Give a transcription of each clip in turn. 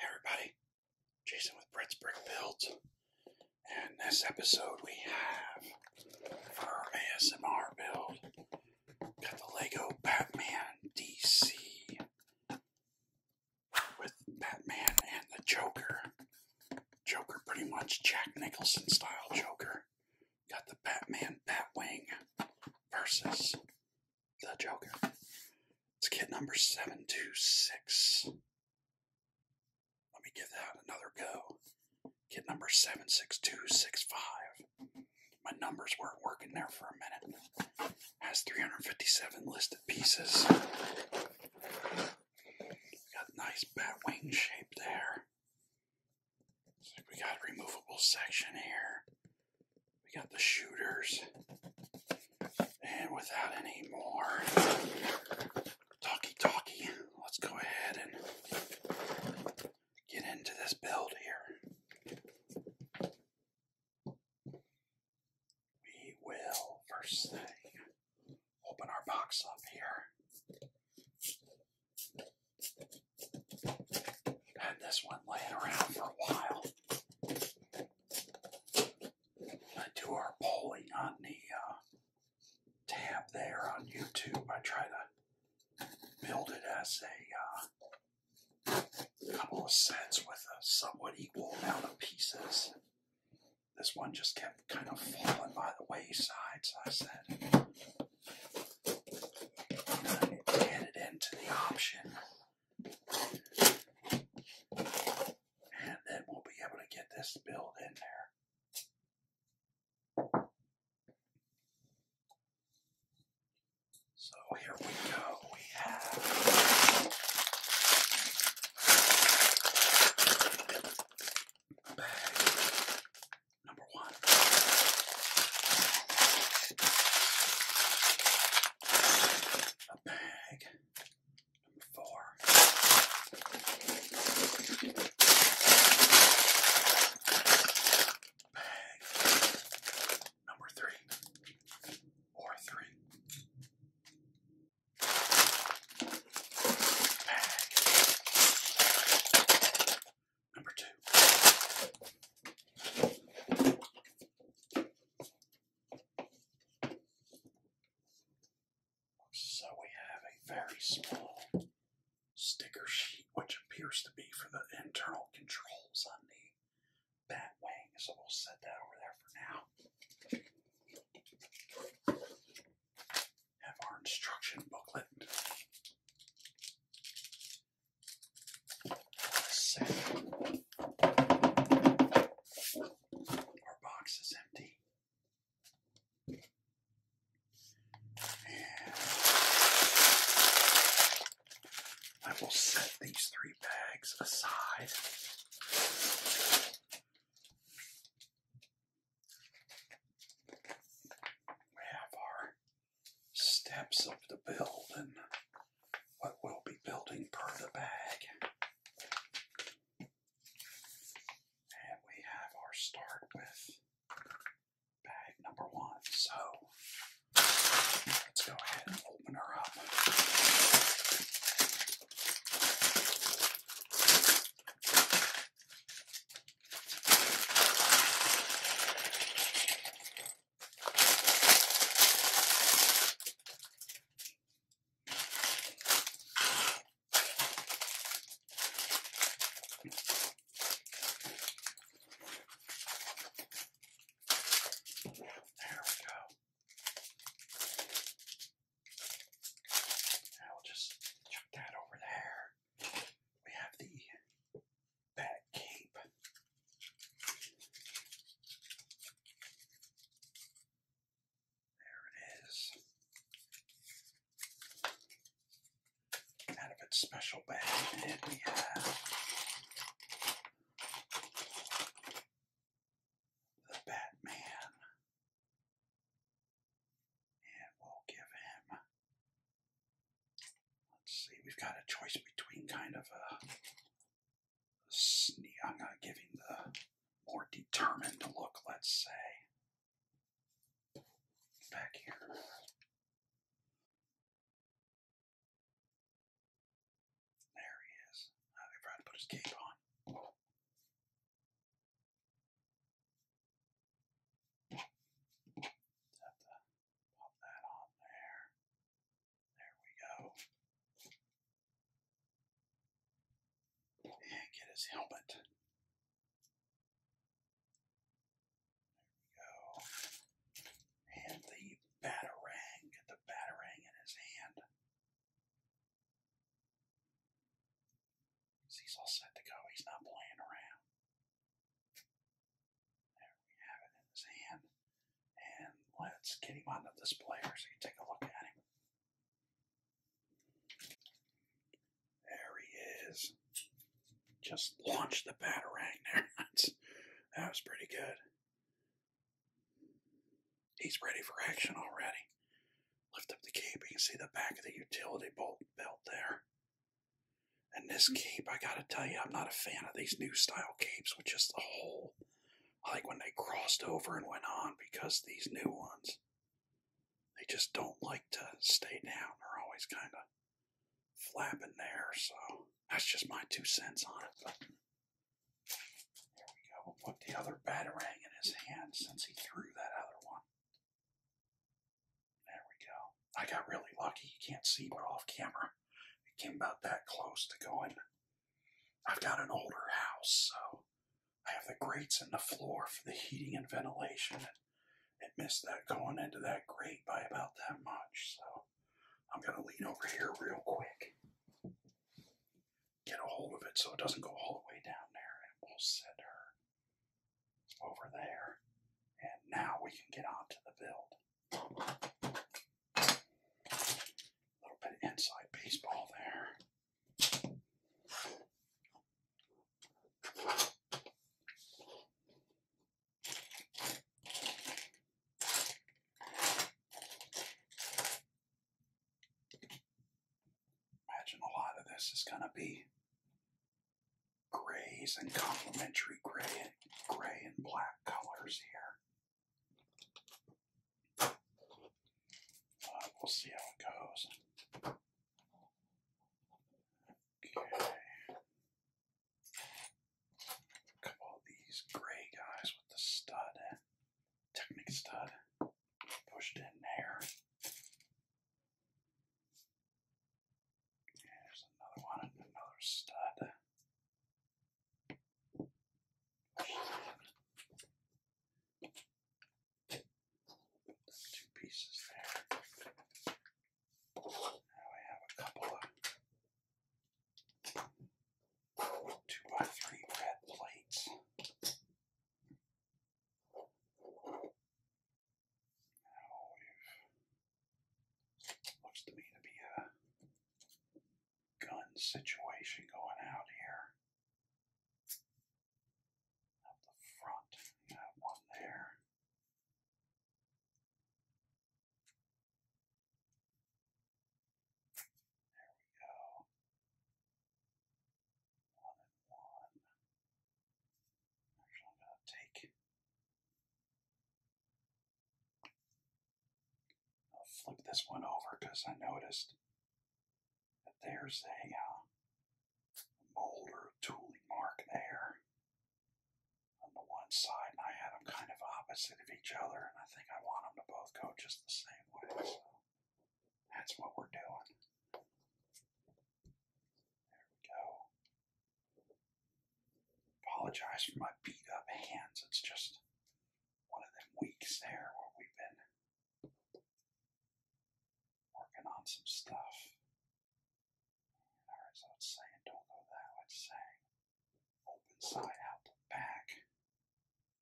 everybody, Jason with Brett's Brick Build, and this episode we have for our ASMR build got the Lego Batman DC with Batman and the Joker. Joker, pretty much Jack Nicholson style Joker. Got the Batman Batwing versus the Joker. Let's get number 726. Let me give that another go. Get number 76265. My numbers weren't working there for a minute. Has 357 listed pieces. got nice bat wing shape there. So we got removable section here. We got the shooters. And without any more talkie talkie, let's go ahead and get into this build here. We will, first thing, open our box up here. had this one laying around for a while. I do our polling on the uh, tab there on YouTube. I try to build it as a uh, couple of sets with a somewhat equal amount of pieces. This one just kept kind of falling by the wayside, so I said, and I into the option and then we'll be able to get this build in there. So here we go. We have bag number one a bag. Number four. Bag. Number three. Or three. Bag. Number two. So we have a very small sticker sheet, which appears to be for the internal controls on the bat wing. So we'll set that over there for now. Have our instruction booklet our box is empty. I will set these three bags aside. We have our steps of the building what we'll be building per the bag. And we have our start with bag number one. So let's go ahead and open her up. There we go. Now we'll just chuck that over there. We have the back cape there it is. Out of its special bag, and we have the Batman. And we'll give him. Let's see, we've got a choice between kind of a sneak, I'm not giving the more determined look, let's say. Back here. There he is. Now they tried to put his cape on. Have that on there. There we go. And get his helmet. There we go. And the batarang. Get the batarang in his hand. He's all set to go. He's not playing around. There we have it in his hand. And let's get him on the displayer so you can take a look at him. There he is. Just launched the batarang there. that was pretty good. He's ready for action already. Lift up the cape. You can see the back of the utility bolt belt there. And this cape, I gotta tell you, I'm not a fan of these new style capes with just the whole I like when they crossed over and went on because these new ones, they just don't like to stay down. They're always kind of flapping there. So that's just my two cents on it. But there we go. We'll put the other battering in his hand since he threw that other one. There we go. I got really lucky. You can't see, but off camera, it came about that close to going I've got an older house, so I have the grates in the floor for the heating and ventilation. It missed that going into that grate by about that much, so I'm going to lean over here real quick, get a hold of it so it doesn't go all the way down there, and we'll set her over there. And now we can get on to the build. A little bit inside baseball there. Imagine a lot of this is going to be grays and complementary gray, gray and black colors here we'll see how it goes. Okay. couple of these gray guys with the stud, Technic stud, pushed in there. There's another one and another stud. Two pieces there. Now I have a couple of two by three red plates. Now looks to me to be gun situation going out here. Up the front, that one there. There we go. One and one. Actually, I'm going to take I'll flip this one over because I noticed that there's a uh, mold or tooling mark there on the one side, and I have them kind of opposite of each other, and I think I want them to both go just the same way. So that's what we're doing. There we go. Apologize for my beat up hands. It's just one of them weeks there where we've been working on some stuff. And I was don't go that way, saying open side out back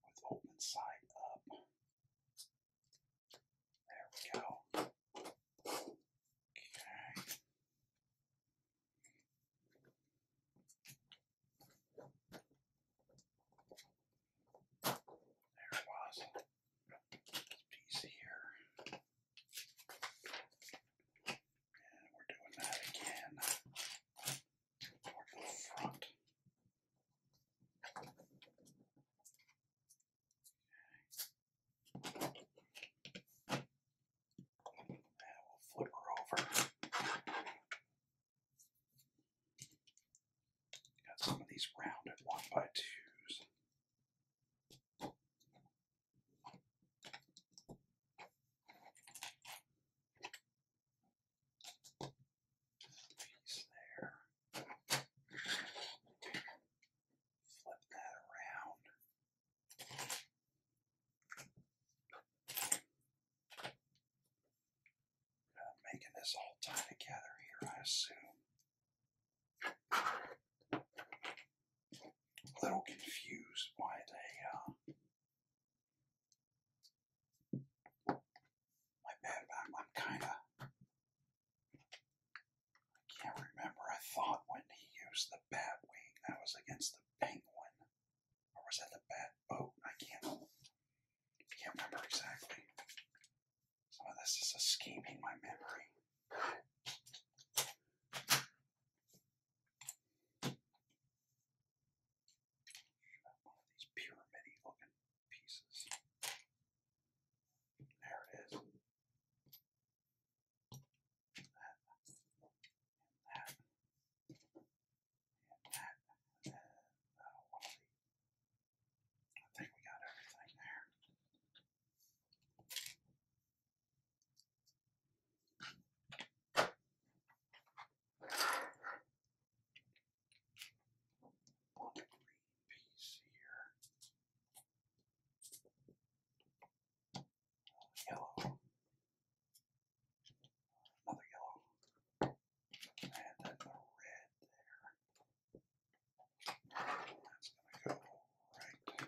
with open side up. There we go. Okay. There it was. This piece here. And we're doing that again toward the front. And we'll flip her over. Got some of these rounded one by twos. Piece there. Flip that around. I'm making this all tie together here, I assume. A little confused why they, uh, my bad, I'm kind of, I can't remember. I thought when he used the bat wing, that was against the penguin. Or was that the bat boat? I can't, can't remember exactly. Some of this is escaping my memory. One of these pyramidy looking pieces. There it is. That that. And that is I think we got everything there. One green piece here. Yellow. Another yellow. And then red there. That's gonna go right there.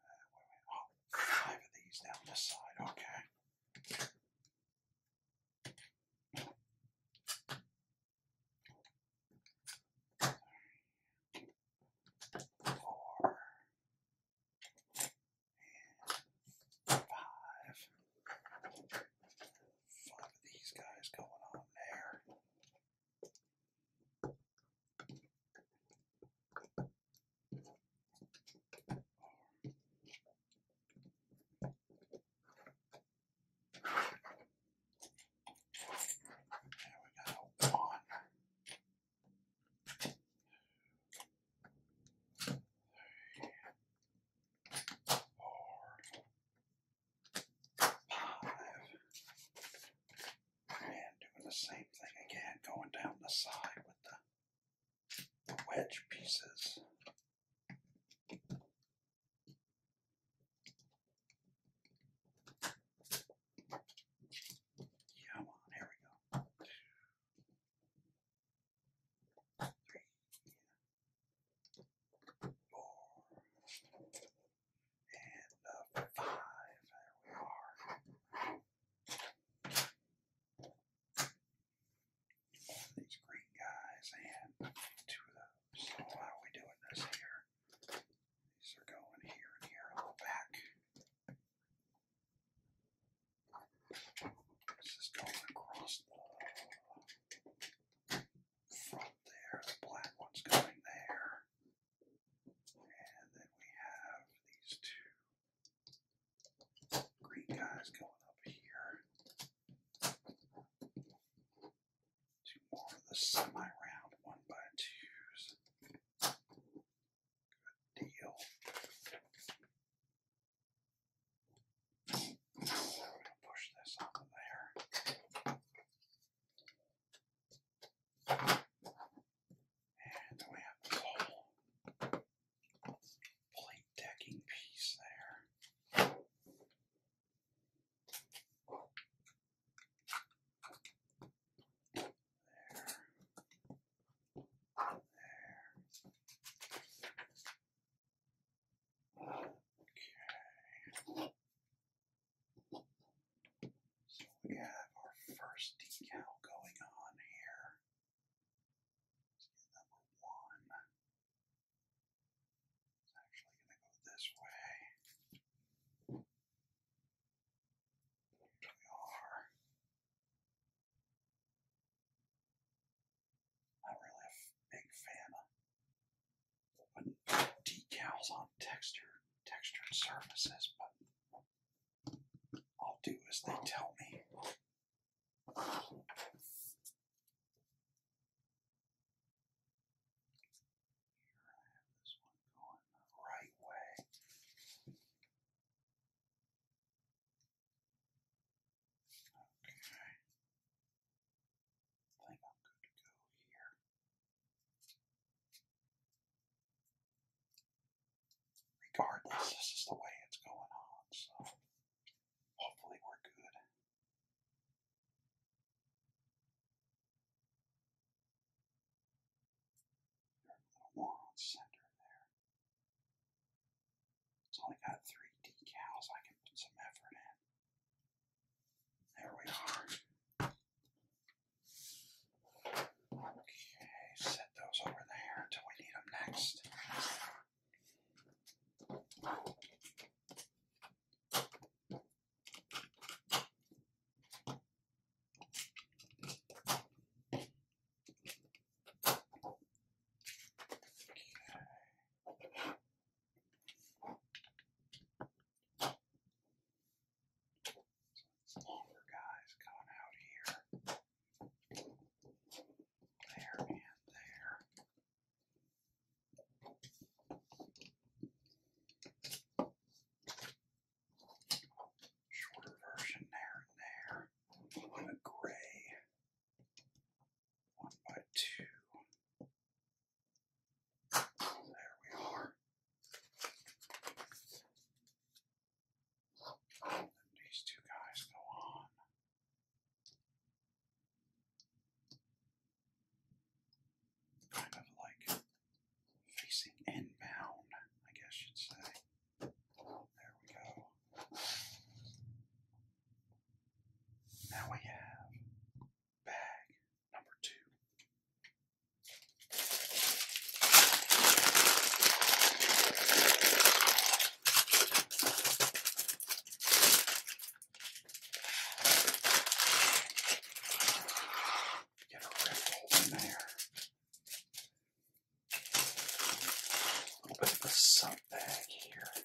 Oh, five of these down this side. Okay. Four and five. Five of these guys going on there. And we got one four, five, and doing the same thing again, going down the side with the, the wedge pieces. Yeah, here we go. And uh, five. There we are. these green guys and two of those. So why are we doing this here? These are going here and here on the back. This is going across the front there. The black one's going there. And then we have these two green guys going up here. Two more of the semi-round one by twos. Good deal. I'm going to push this onto there. And we have the whole plate decking piece there. There. There. Okay. So we have our first decal going on here. number one. It's actually going to go this way. There we are. I'm really a big fan of putting decals on texture, textured surfaces, but I'll do as they tell me. Here I have this one going the right way. Regardless, this is the way it's going on, so hopefully we're good. little more there. It's only got three decals. I can put some effort in. There we are. Okay, set those over there until we need them next. So longer guys coming out here. There and there. Shorter version there and there. A of gray one by two. There we are. these two guys go on. Kind of like facing inbound, I guess you'd say. There we go. Now we have bag number two. Get a red hole there. A little bit of a sub bag here.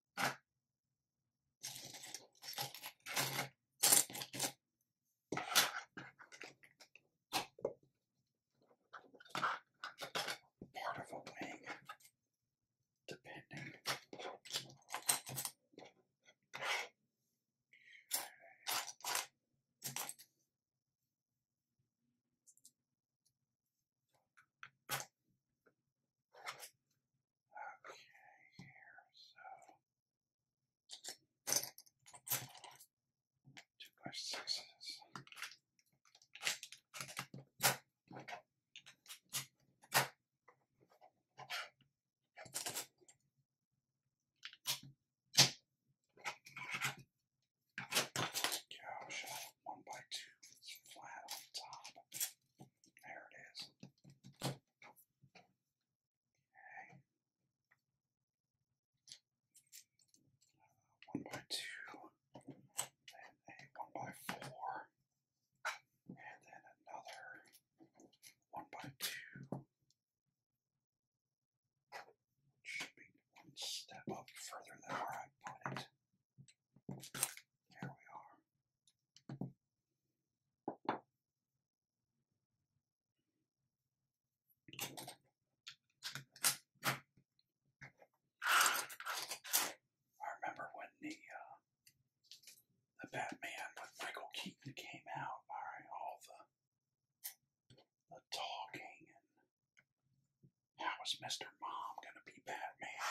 part of a wing, depending. Okay, here, so two by sixes. Gosh, one by two, it's flat on top. There it is one by two, then a one by four, and then another one by two. Should be one step up further than where I put it. There we are. I remember when the uh, the Batman with Michael Keaton came out. all the the talking and how is Mister Mom gonna be Batman?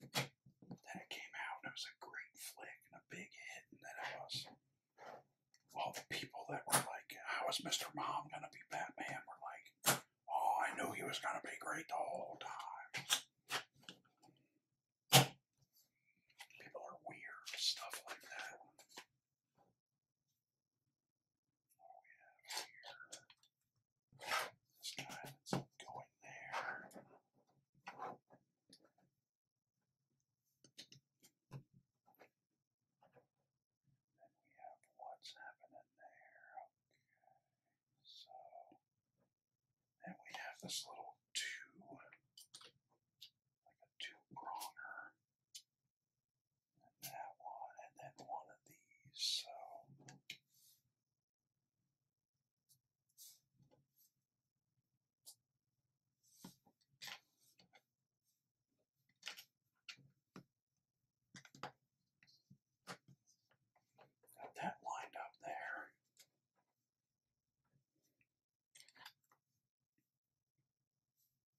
Then it came out, and it was a great flick and a big hit, and then it was. All the people that were like, How is Mr. Mom going to be Batman? were like, Oh, I knew he was going to be great the whole time. People are weird, stuff like that. Oh, yeah, weird. This guy is going there. Then we have what's happening there. Okay. So then we have this little two like a two pronger. And that one and then one of these. So Got that lined up there.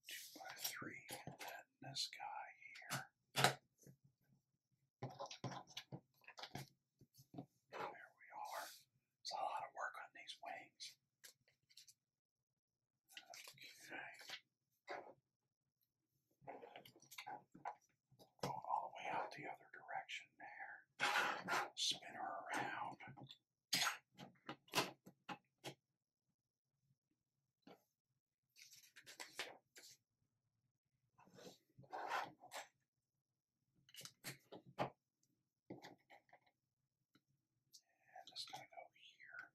Two by three, this guy here. There we are. It's a lot of work on these wings. Go all the way out the other direction there. Spin her around. And it's going to go here.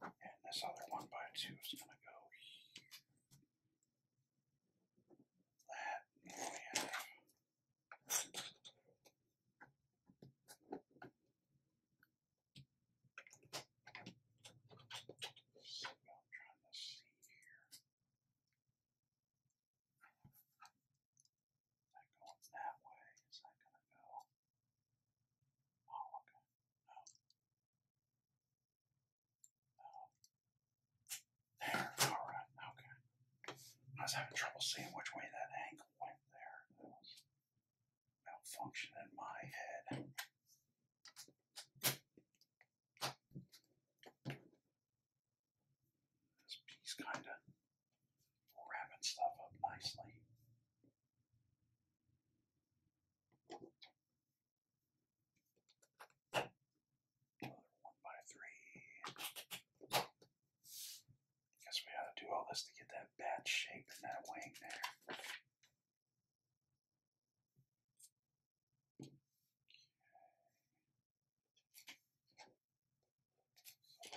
And this other one by two is going to go here. That we have. So I'm trying to see here. That going that way, is that going to go? Oh, okay. No. There. Alright, okay. I was having trouble seeing which way that angle went there. That malfunction in my head. This piece kind of wrapping stuff up nicely. Another one by three. Guess we ought to do all this to get that bat shape in that wing there. So we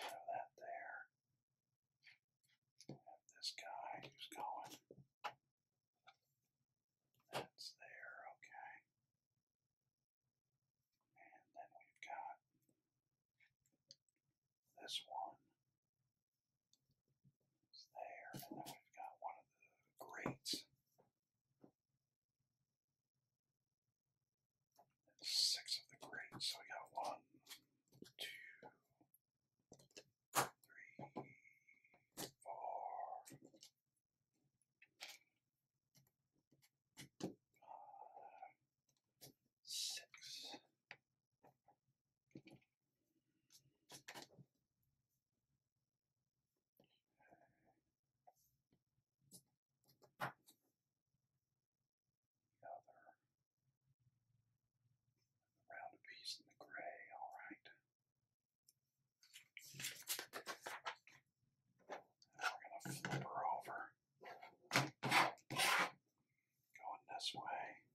have that there. this guy who's going. That's there, okay. And then we've got this one. It's there, and then we've got one of the grates six of the great. So we got one, two, three, four, five, six. The other. The in the gray, all right. Now we going to flip her over. Going this way.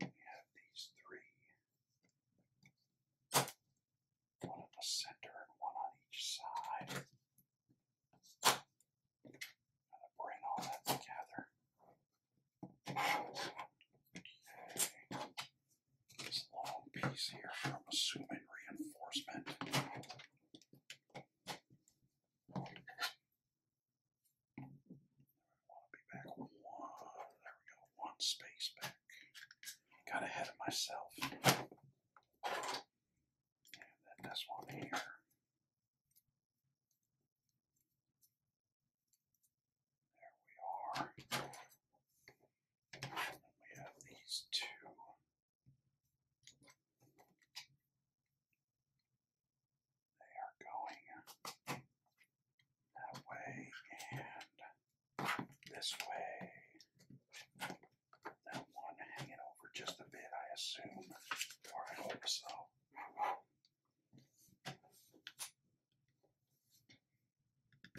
We have these three one at the center and one on each side. going to bring all that together. This long piece here from assuming reinforcement want to be back one. There we go. One space back. Got ahead of myself. And then this one here. There we are. we have these two. They are going that way and this way. That one hanging over just a bit, I assume, or I hope so.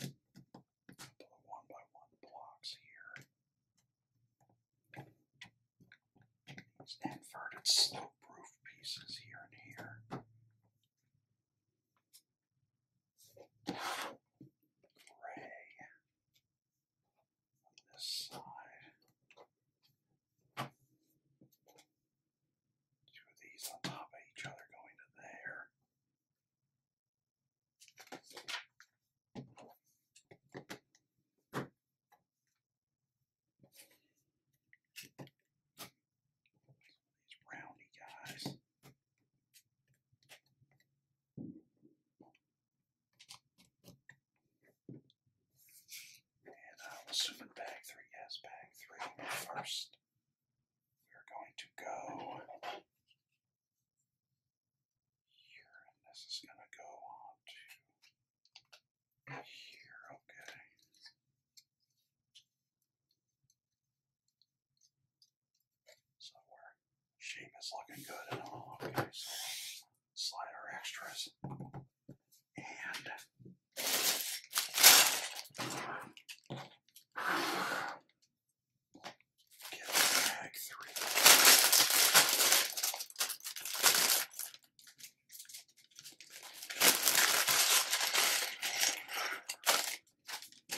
A one by one blocks here. These inverted slope roof pieces here and here gray on this side. Two of these on top of each other going to there. These roundy guys. And I'm assuming bag three, yes, bag three. first, we're going to go here, and this is going to go on to here, okay. So we shape is looking good and all. Okay, so slide our extras and get bag three. And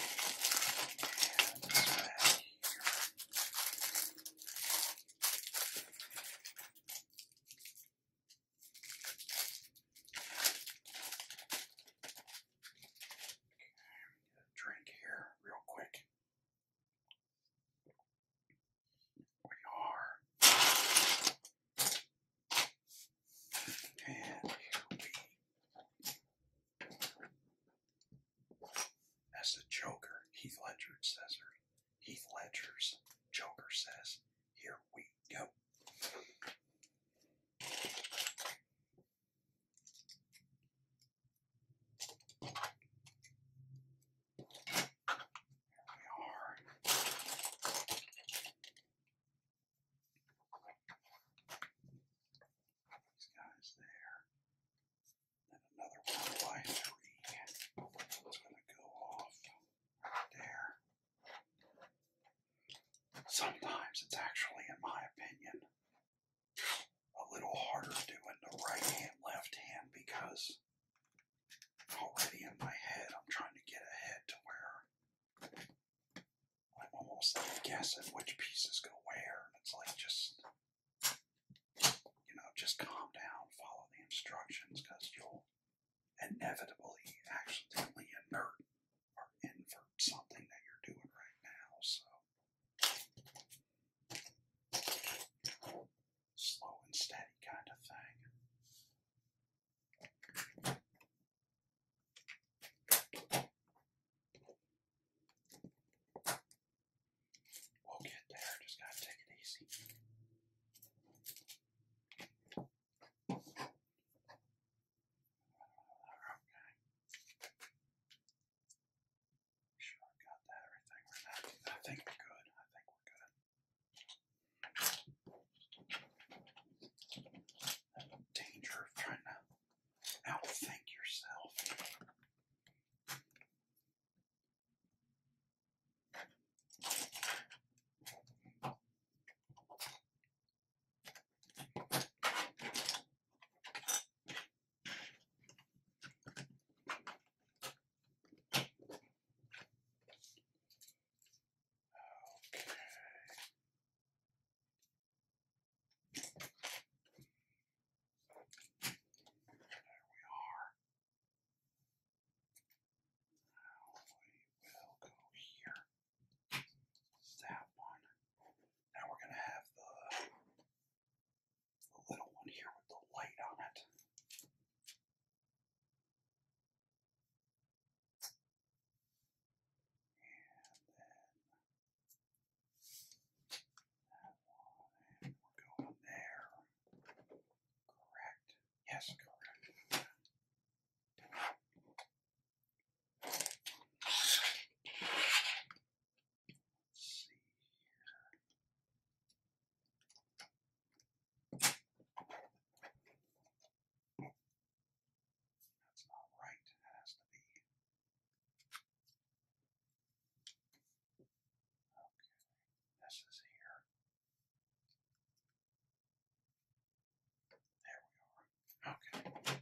this drink here real quick. We are and That's the Joker, Heath Ledger says or Heath Ledger's Joker says, here we go. Here we are. These guys there. And another one by three. It's going to go off right there. Sometimes it's actually, in my opinion, a little harder doing the right hand, left hand because already in my head I'm trying to get ahead to where I'm almost guessing which pieces go where, and it's like just, you know, just calm down, follow the instructions, because you'll inevitably accidentally inert or invert something that you're doing right now. So slow and steady kind of thing. We'll get there, just gotta take it easy. Sure, got that everything. I think we're good. I think we're good danger of trying to outthink yourself. Okay. There we are. Now we will go here. That one. Now we're going to have the, little one here with the light on it. And then that one, and we're going there. Correct. Yes, correct. Let's see here. That's not right. That has to be. Okay. This is here. There we are. Okay. here.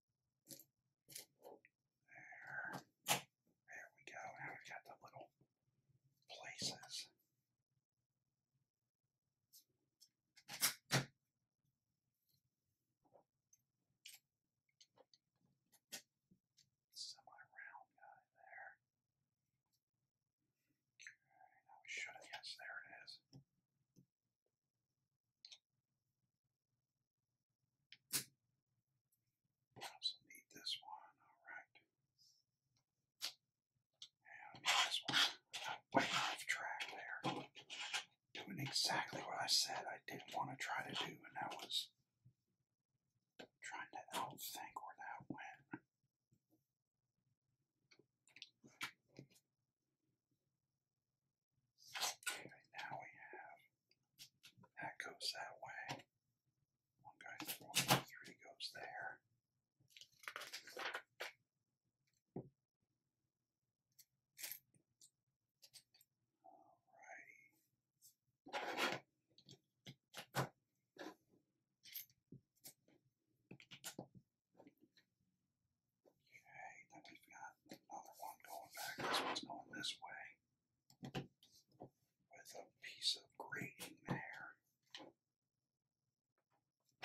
There. There we go. Now we've got the little places. Semi-round guy there. Okay, now we should have, yes, there it is. I also need this one, alright. I need off track there. Doing exactly what I said I didn't want to try to do, and that was trying to outthink where that went now we have that goes that way. One goes there. Alrighty. Okay, then we've got Another one going back. This one's going this way. With a piece of green there.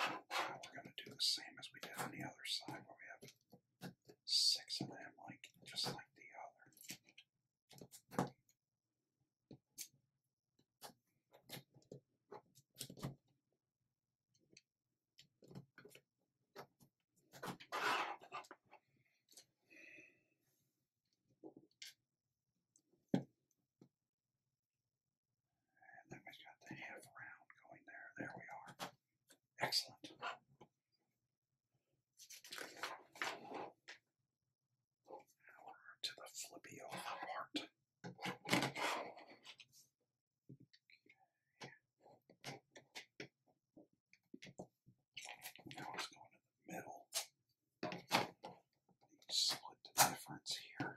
Now we're going to do the same as we did on the other side where we have six of them, like just like the other. And then we've got the half round going there. There we are. Excellent. Now we're to the flippy over part. Now it's going to the middle. split the difference here.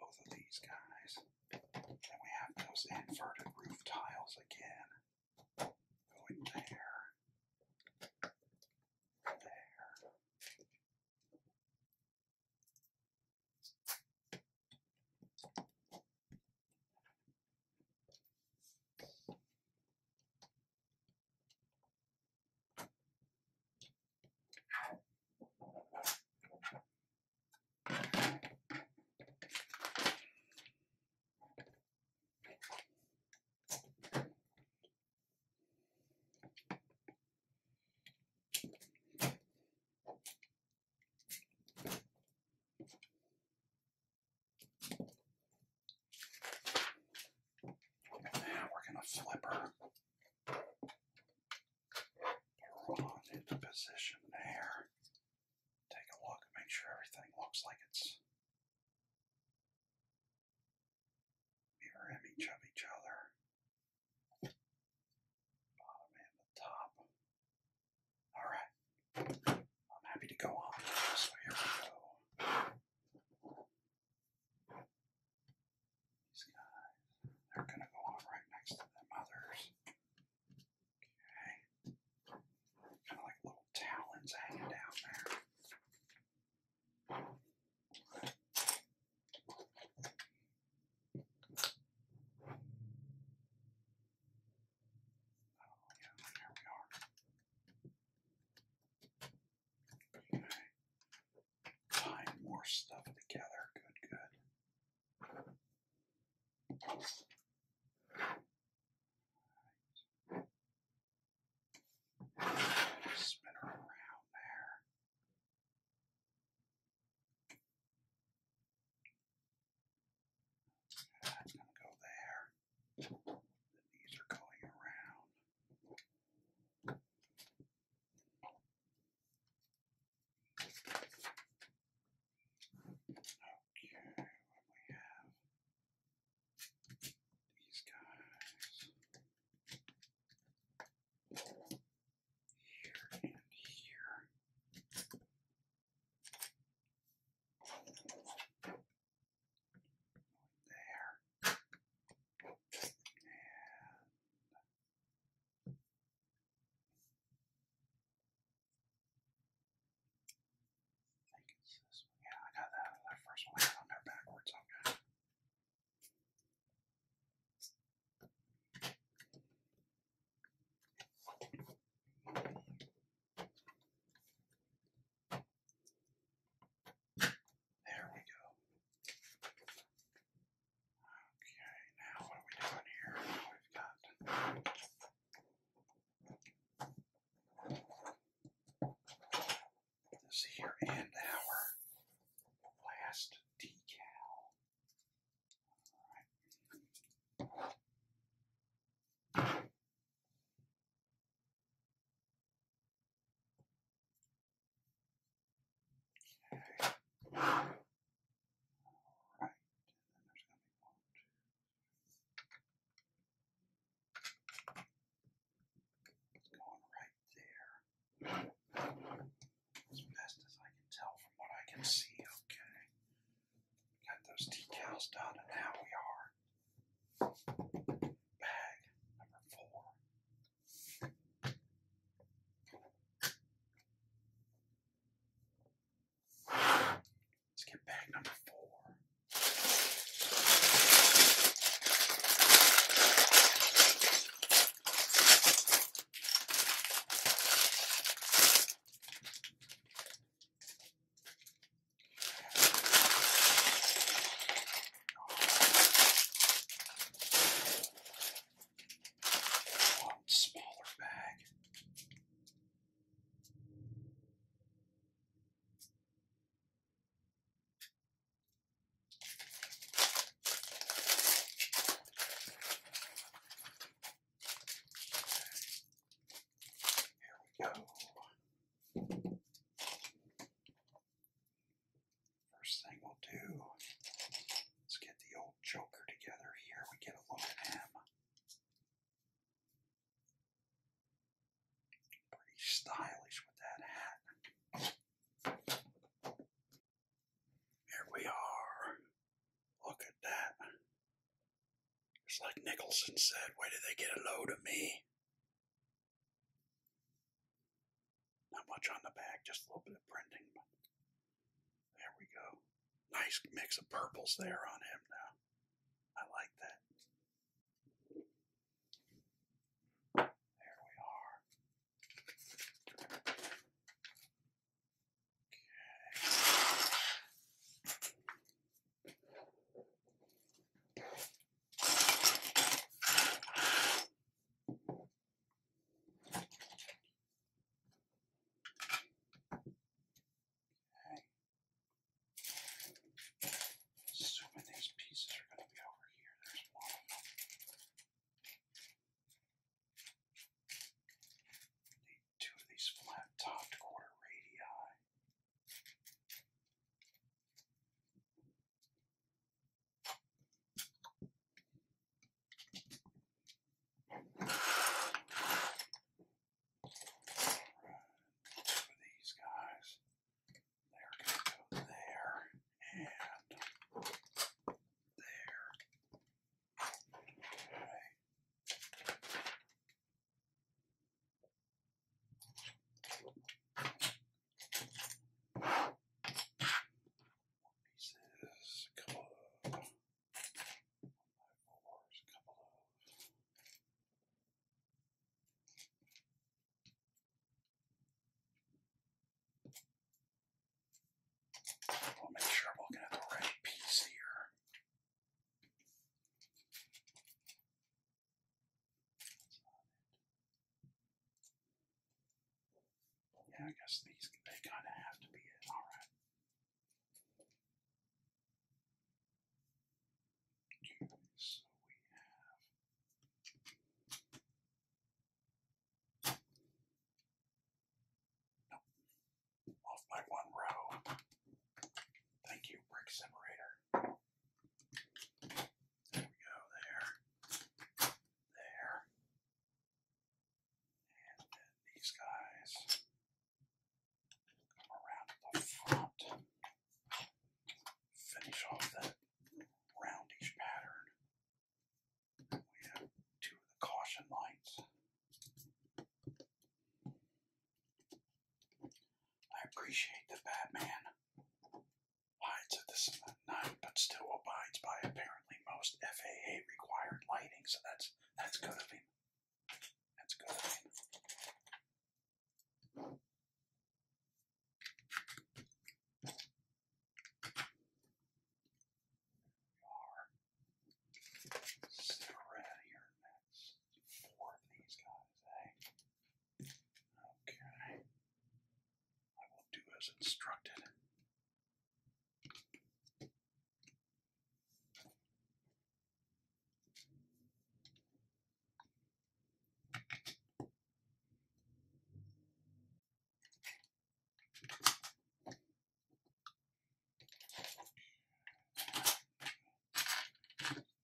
both of these guys. Then we have those inverted roof tiles again. Going there. There. Now we're going to flip her Hold on into position there. Take a look and make sure everything looks like it's mirror each other. Bottom and the top. Alright. I'm happy to go on. So here we go. These guys, they're going to go on right next to them others. Okay. Kind of like little talons hanging down there. Oh, yeah, there we are. Okay find more stuff together. Good, good. Right. around there. Okay, going to go there. The knees are going around. Okay, what we have? These guys here and here. There. And I Yeah, I got that, that first one. I got on there backwards. Okay. There we go. Okay, now what are we doing here? we've got this here and our last decal. Alright. Okay. going right there. As best as I can tell from what I can see, okay. Got those decals done, and now we are. Bag number four. Let's get bag number four. One smaller bag. Here we go. First thing we'll do is get the old Joker together here. We get a look at him. Pretty stylish with that hat. Here we are. Look at that. It's like Nicholson said, where did they get a load of me? Not much on the back, just a little bit of printing. there we go. Nice mix of purples there on him now. I like that. There we are. Okay. Okay. Assuming these pieces are going to be over here, there's one of them. two of these flat topped quarter radii. For these guys, they're going to go there and there pieces, a couple of fours, a couple We'll make sure I'm looking at the right piece here. Yeah, I guess these they kind of have to be it. All right. so we have. Off by one row. Thank you, brick separator. There we go, there, there, and these guys come around the front, finish off that roundish pattern. we have two of the caution lights. I appreciate the Batman hides at this and night, but still abides by apparently most FAA required lighting. So that's that's good of him. That's good of him. here? That's four of these guys, eh? Okay. I will do as instructed.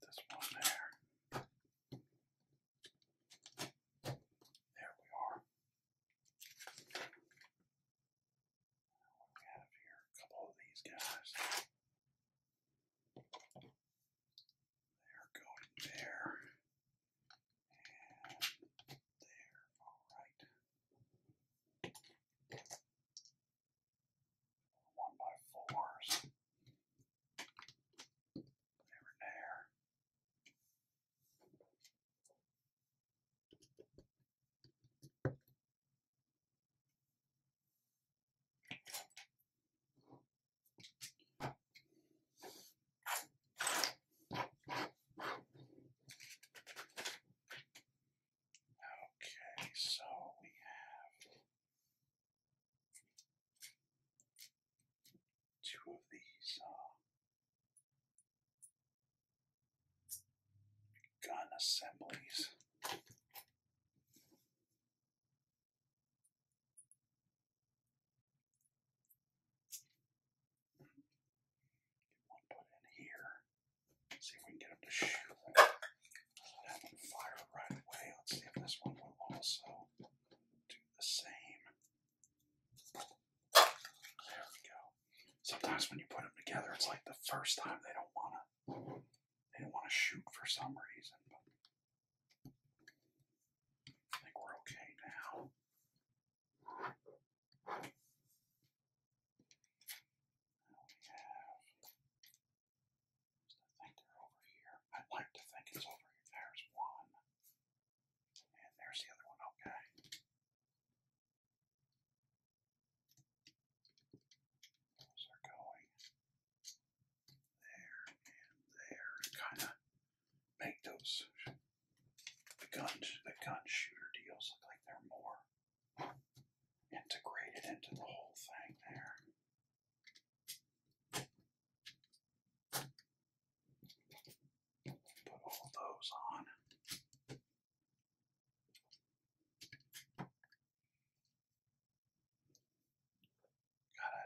This one there. There we are. we have here? A couple of these guys. They're going there. And there. Alright. One by fours. They were there. Okay, so we have Two of these are uh, gun assemblies. put in here. see if we can get him to shoot. Have him fire right away. Let's see if this one will also the same. There we go. Sometimes when you put them together, it's like the first time they don't want to. They don't want to shoot for some reason. I think we're okay now. I think they're over here. I'd like to think it's over here. There's one. And there's the other one, okay. Those are going there and there. Kind of make those the guns, the gun shooter deals look like they're more integrated into the whole thing there. Put all those on. Gotta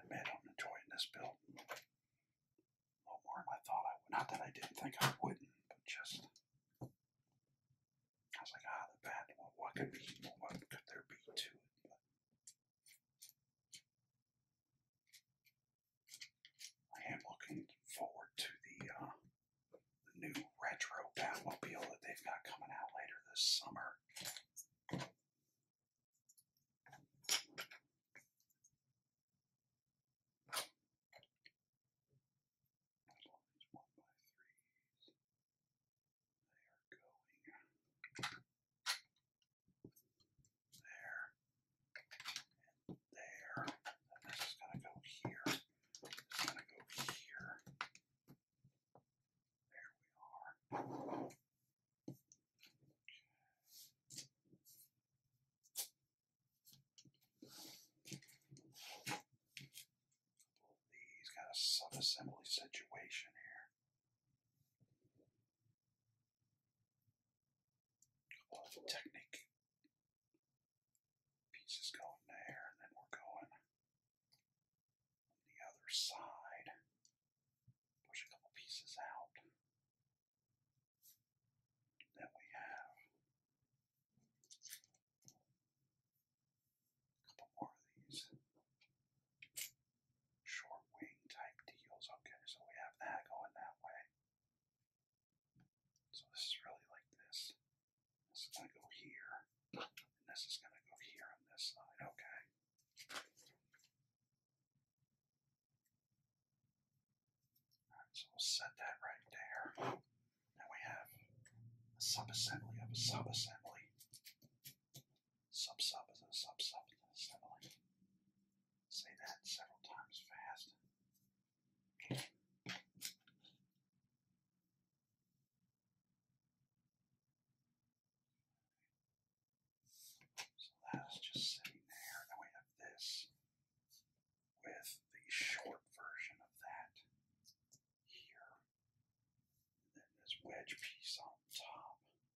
admit, I'm enjoying this build more than I thought I would. Not that I didn't think I wouldn't, but just. I was like, ah, the bad. what could be? what could there be to it? I am looking forward to uh, the, new retro Batmobile that they've got coming out later this summer there, there. this is going to go here. It's going to go here. There we are. He's got a sub-assembly situation here. Awful technique. pieces going there, and then we're going on the other side. Push a couple pieces out. And then we have a couple more of these short wing type deals. Okay, so we have that going that way. So this is really like this. This is going to go here, and this is going to go here on this side. Okay. so we'll set that right there. Now we have a subassembly of a subassembly. Sub-sub is a sub-sub to the settling. Say that several times fast. So that is just sitting there. Then we have this with the short version of that here. And then this wedge piece on top.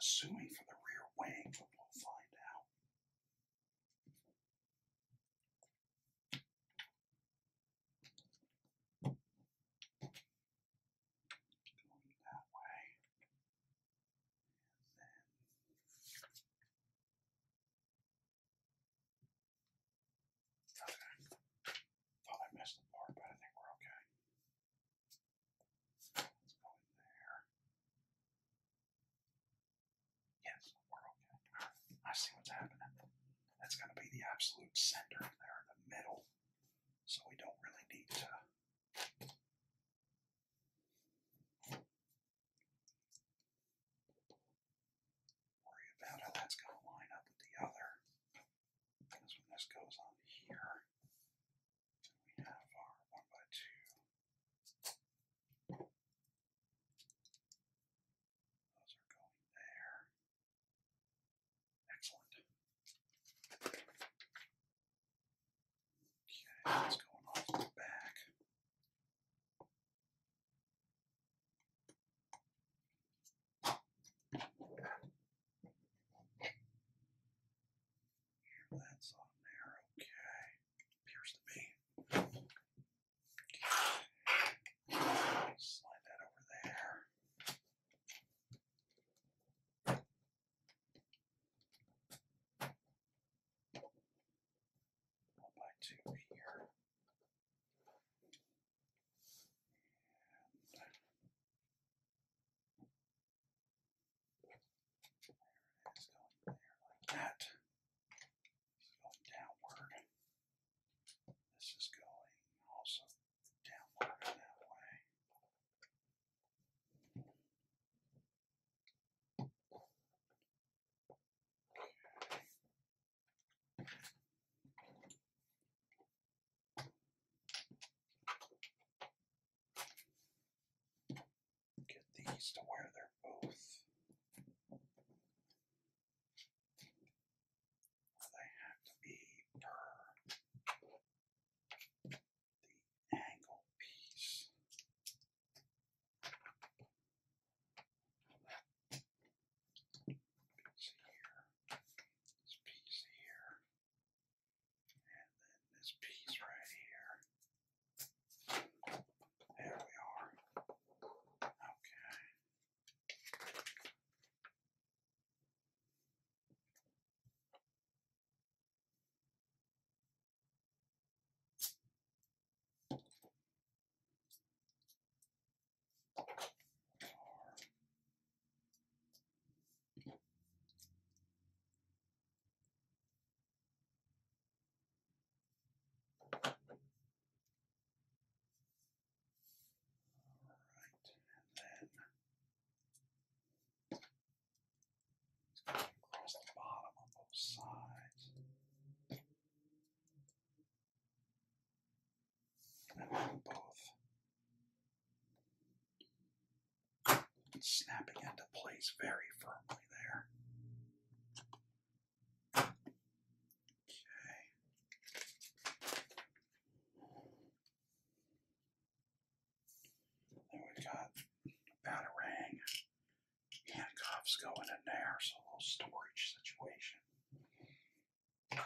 Assuming for the rear wing, but we'll find out. Going that way. Thought I missed the part, but I think we're okay. Yes, we're okay. I see what's happening. That's going to be the absolute center there, in the middle. So we don't really need to. Worry about how that's going to line up with the other. Because when this goes on here, we have our 1 by 2. Those are going there. Excellent. Okay, that's going off the back. That's on there, okay. Appears to be. Slide that over there. One by two here. It's going there like that. This is going downward. This is going also downward that way. Get these to where they're both. They have to be per the angle piece. This piece here. And then this piece right here. There we are. Okay. All right, and then across the bottom on both sides. And then both snapping into place very firmly there. Okay. Then we've got Batarang handcuffs going in there, so a little storage situation. Now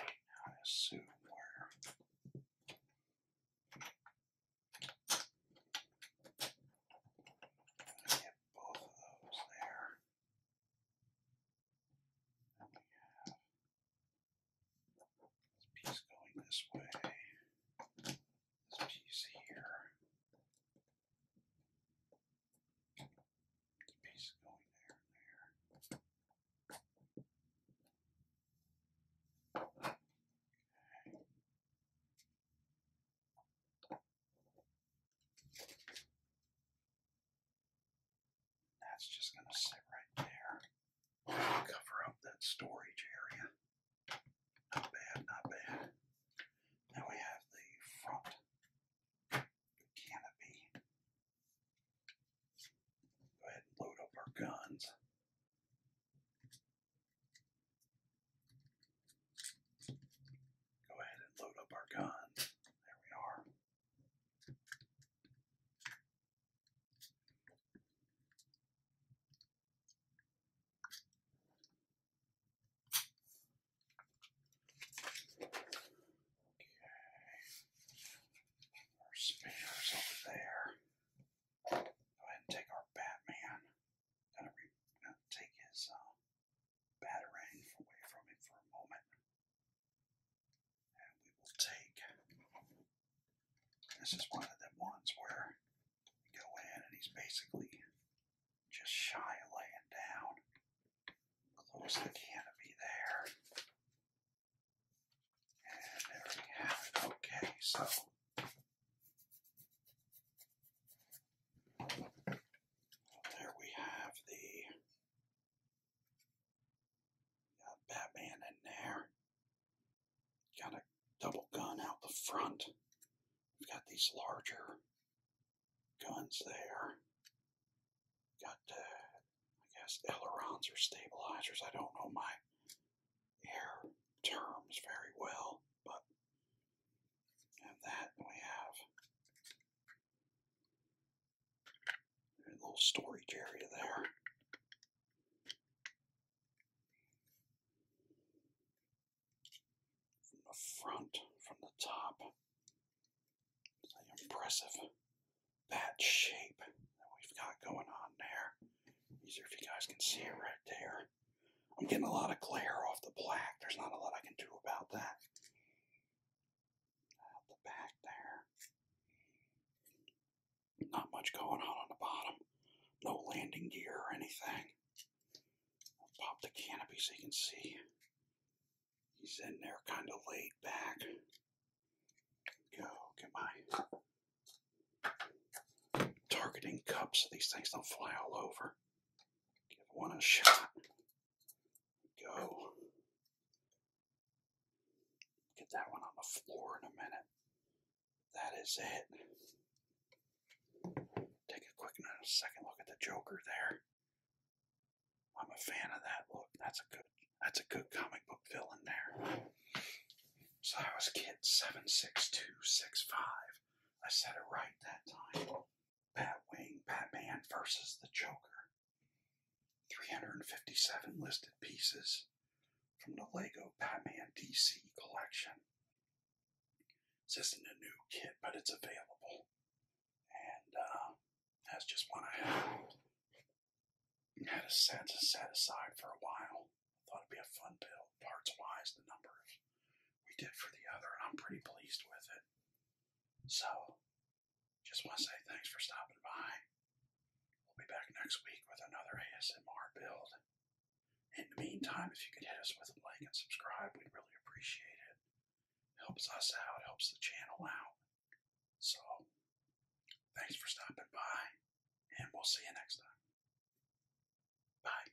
I assume where Get both of those there. Then we have this piece going this way, this piece here, the piece going there and there. That's just going to sit right there. Cover up that storage area. Not bad, not bad. Now we have the front canopy. Go ahead and load up our guns. Go ahead and load up our guns. There we are. Okay. Our spares over there. Go ahead and take our Batman. Gonna, take his uh, away from him for a moment, and we will take. This is one of the ones where you go in and he's basically just shy of laying down. Close the canopy there. And there we have it. Okay, so there we have the got Batman in there. Got a double gun out the front. We've got these larger guns there. Got, uh, I guess, ailerons or stabilizers. I don't know. My air terms very well, but and that we have a little storage area there. From the front, from the top, impressive bat shape that we've got going on there. Easier if you guys can see it right there. I'm getting a lot of glare off the black. There's not a lot I can do about that. Out the back there. Not much going on on the bottom. No landing gear or anything. pop the canopy so you can see. He's in there kind of laid back. Go get my Targeting cups so these things don't fly all over. Give one a shot. Go. Get that one on the floor in a minute. That is it. Take a quick second look at the Joker there. I'm a fan of that look. That's a good that's a good comic book villain there. So that was kit 76265. I said it right that time. Batwing, Batman versus the Joker. 357 listed pieces from the Lego Batman DC collection. This isn't a new kit, but it's available. And uh, that's just one I have had a set set aside for a while. Thought it'd be a fun build, parts wise, the numbers we did for the other, and I'm pretty pleased with it. So, just want to say thanks for stopping by. We'll be back next week with another ASMR build. In the meantime, if you could hit us with a like and subscribe, we'd really appreciate it. Helps us out, helps the channel out. So, thanks for stopping by and we'll see you next time. Bye.